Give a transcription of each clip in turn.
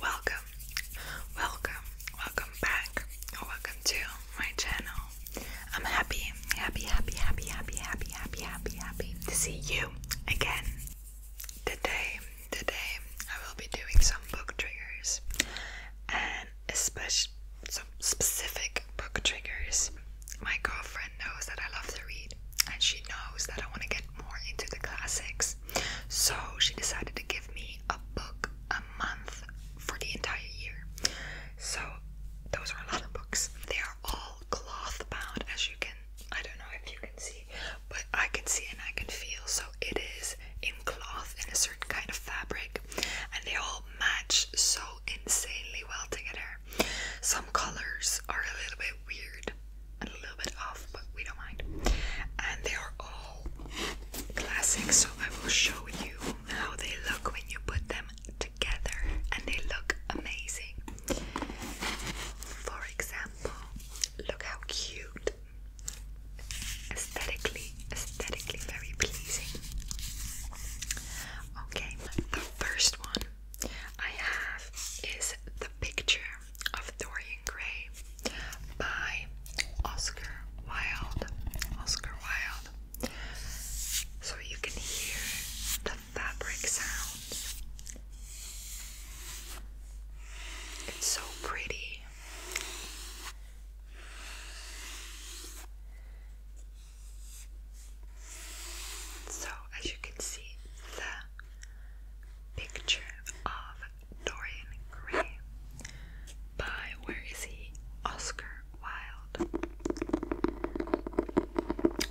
Welcome, welcome, welcome back, or welcome to my channel. I'm happy, happy, happy, happy, happy, happy, happy, happy, happy to see you again. Today, today, I will be doing some book triggers and especially some specific book triggers. My girlfriend knows that I love to read, and she knows that I want to get more into the classics. So she decided to give me a book a month for the entire year. So those are a lot of books. They are all cloth bound, as you can. I don't know if you can see, but I can see and I can feel. So it is in cloth and a certain kind of fabric, and they all match so insanely well together. Some colors are a little bit weird a little bit off, but we don't mind. And they are all classic, so I will show you how they look when you put them together, and they look amazing. For example, look how cute. Aesthetically, aesthetically very pleasing. Okay, the first one I have is the picture of Dorian Gray by Oscar Wilde. Oscar Wilde. So you can hear the fabric sounds. It's so pretty. So, as you can see, the Picture of Dorian Gray by where is he? Oscar Wilde.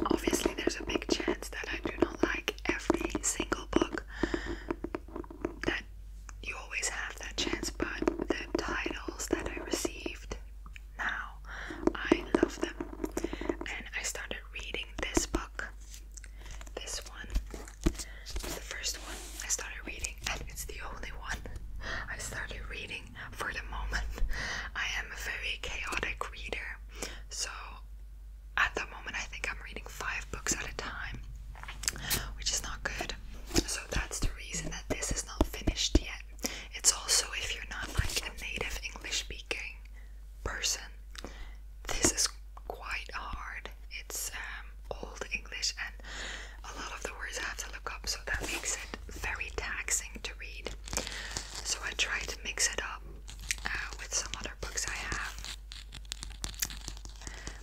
Obviously, there's a big chance that I do not like every single book. That you always have that chance, but the titles that I received now, I love them. And I started reading this book this one was the first one I started reading, and it's the only one I started reading for the moment. I am a very chaotic reader, so at the moment I think I'm reading five books at a time, which is not good. So that's the reason that this is not finished yet. It's also if you're not like a native English speaking person. This is quite hard. It's um, old English, and a lot of the words I have to look up, so that makes it very taxing to read. So I try to mix it up uh, with some other books I have.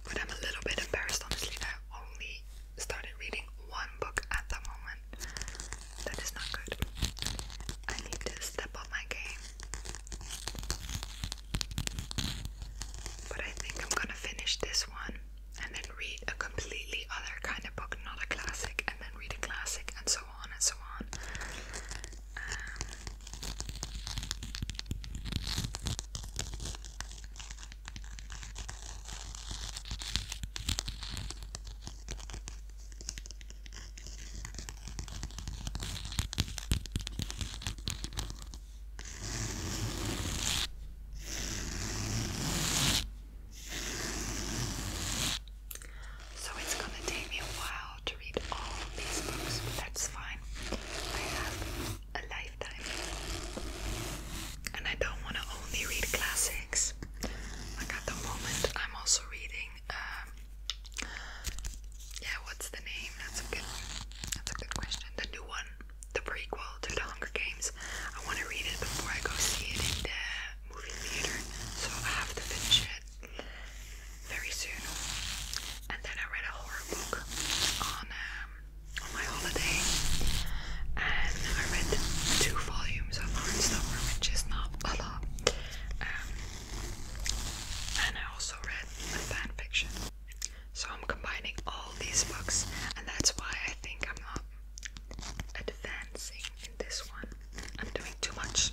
But I'm a little bit embarrassed, honestly, that I only started reading one book at the moment. That is not good. I need to step up my game. But I think I'm gonna finish this one and then read a completely other kind of book, not a classic, and then read a classic, and so on and so on. Um, so it's gonna take me a while to read all these books, that's fine. I have a lifetime. And I don't wanna only read classics. Like at the moment I'm also reading um, yeah, what's the name? That's a good. That's a good question. The new one, the prequel to The Hunger Games. I want to read it before I go see it in the movie theater, so I have to finish it very soon. And then I read a horror book on um, on my holiday, and I read two volumes of Heartstopper, which is not a lot. Um, and I also read a fan So I'm combining all these books, and that's why I think I'm not advancing in this one. I'm doing too much.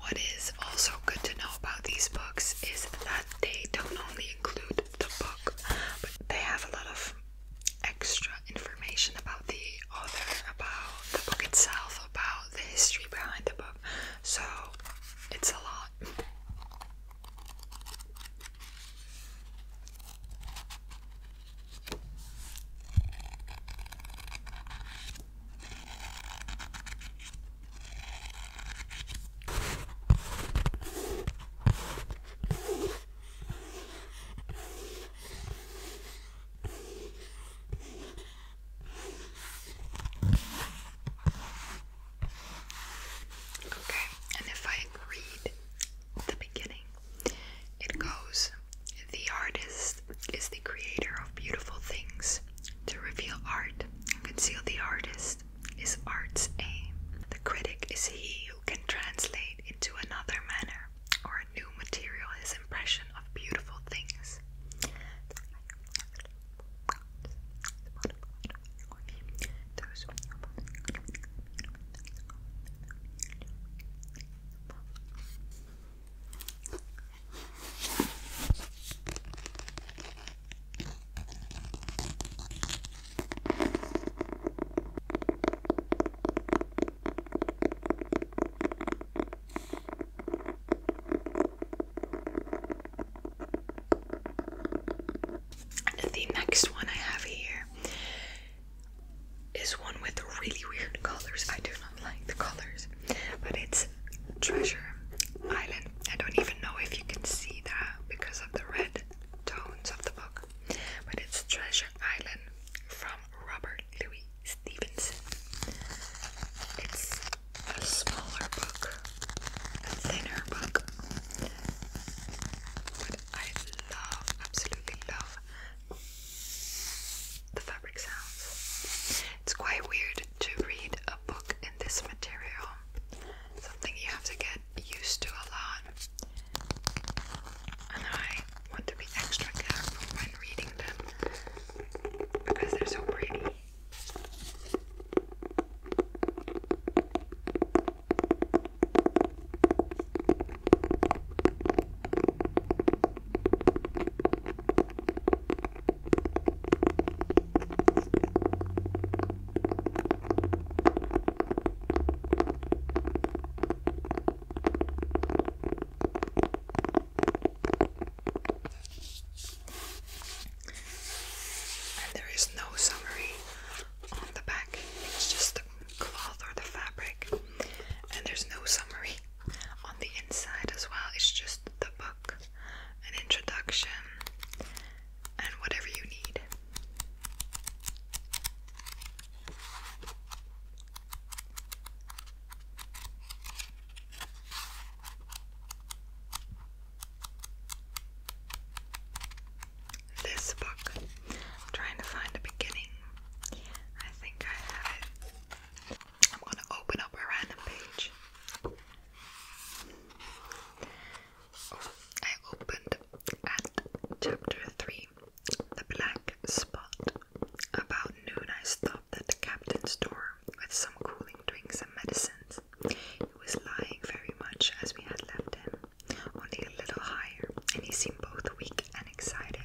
What is also good to know about these books is that they don't only include the book, but they have a lot of extra information about the the about the book itself, about the history behind the book. So it's a lot. Okay, and if I read the beginning, it goes The artist is the creator of beautiful things. To reveal art and conceal the artist is art's aim. The critic is he who can translate into another manner or a new material, is impression of beautiful things. The next one I have here is one with really weird colors. I do not like the colors, but it's Treasure Island. I don't even know if you can see that because of the red tones of the book, but it's Treasure Island from Robert Louis Stevenson. It's a smaller book, a thinner book, but I love, absolutely love the fabric sounds. It's quite weird to read a book in this material, something you have to get used to a lot and I want to be extra careful when reading them because they're so pretty. And there is no summary on the back, it's just the cloth or the fabric, and there's no summary on the inside as well, it's just the book, an introduction, and whatever you need. This book. trying to find a beginning. I think I have it. I'm going to open up a random page. Oh, I opened at chapter 3 the black spot. About noon, I stopped at the captain's door with some cooling drinks and medicines. He was lying very much as we had left him, only a little higher, and he seemed both weak and excited.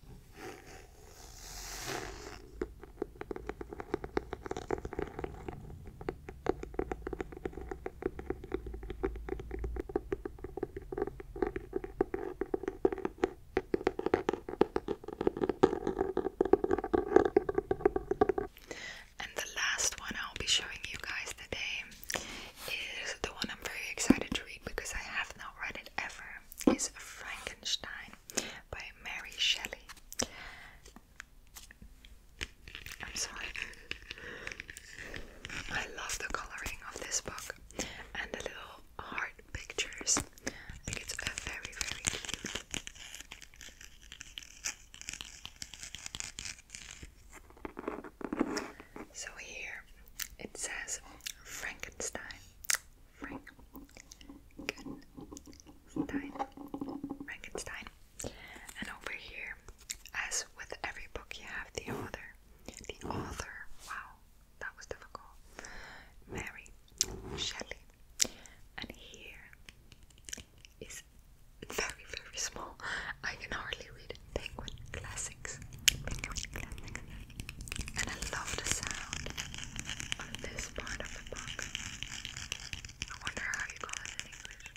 And the last one I'll be showing you guys today is the one I'm very excited to read because I have not read it ever. Is Frankenstein by Mary Shelley. I'm sorry. I love the coloring of this book and the little heart pictures. I think it's a very, very cute. So here it says Frankenstein. Frankenstein. Frankenstein. And over here, as with every book, you have the author. The author, wow, that was difficult. Mary Shelley. And here is very, very small. I can hardly read Penguin Classics. And I love the sound of this part of the book. I wonder how you call it in English.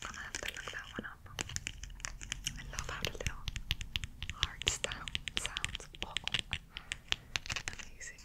gonna have to look that one up. I love how the little heart style sounds. amazing.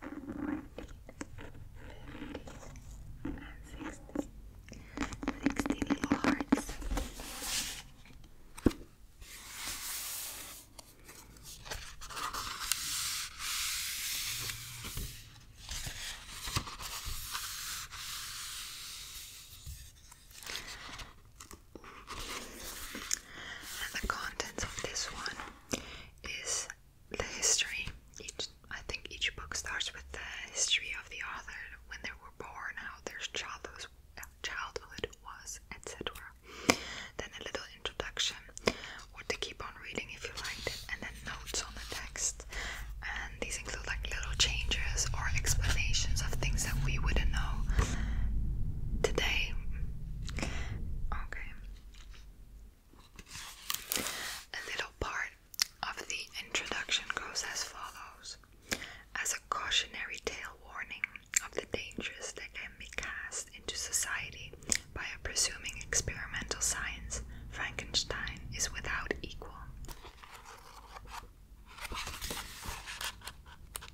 14, 15, and 16. 16 hearts. And the contents of this one is the history. Each, I think each book starts with the history of the author, when they were born, how their childhood, was, etc. Then a little introduction, what to keep on reading if you liked it, and then notes on the text. And these include like little changes or explanations of things that we wouldn't know today. Okay, a little part of the introduction goes as follows as a cautionary tale warning of the dangers that can be cast into society by a presuming experimental science, Frankenstein is without equal.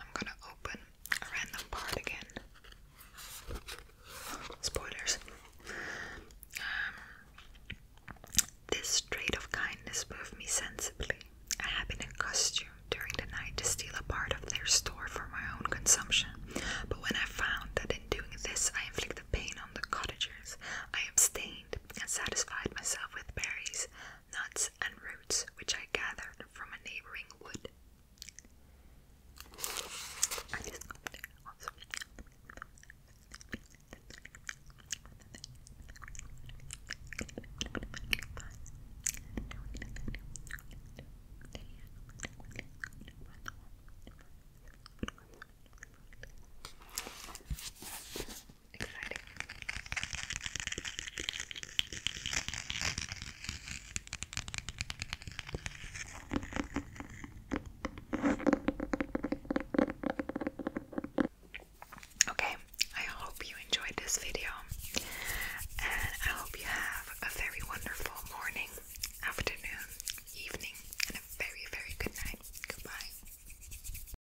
I'm gonna open a random part again. Spoilers. Um, this trait of kindness moved me sensibly. I had been in costume during the night to steal a part of their store for my own consumption, but when I found that in doing this I inflicted pain on the cottagers, I abstained and satisfied myself with berries, nuts and roots which I gathered from a neighboring wood. Okay, I hope you enjoyed this video, and I hope you have a very wonderful morning, afternoon, evening, and a very, very good night. Goodbye.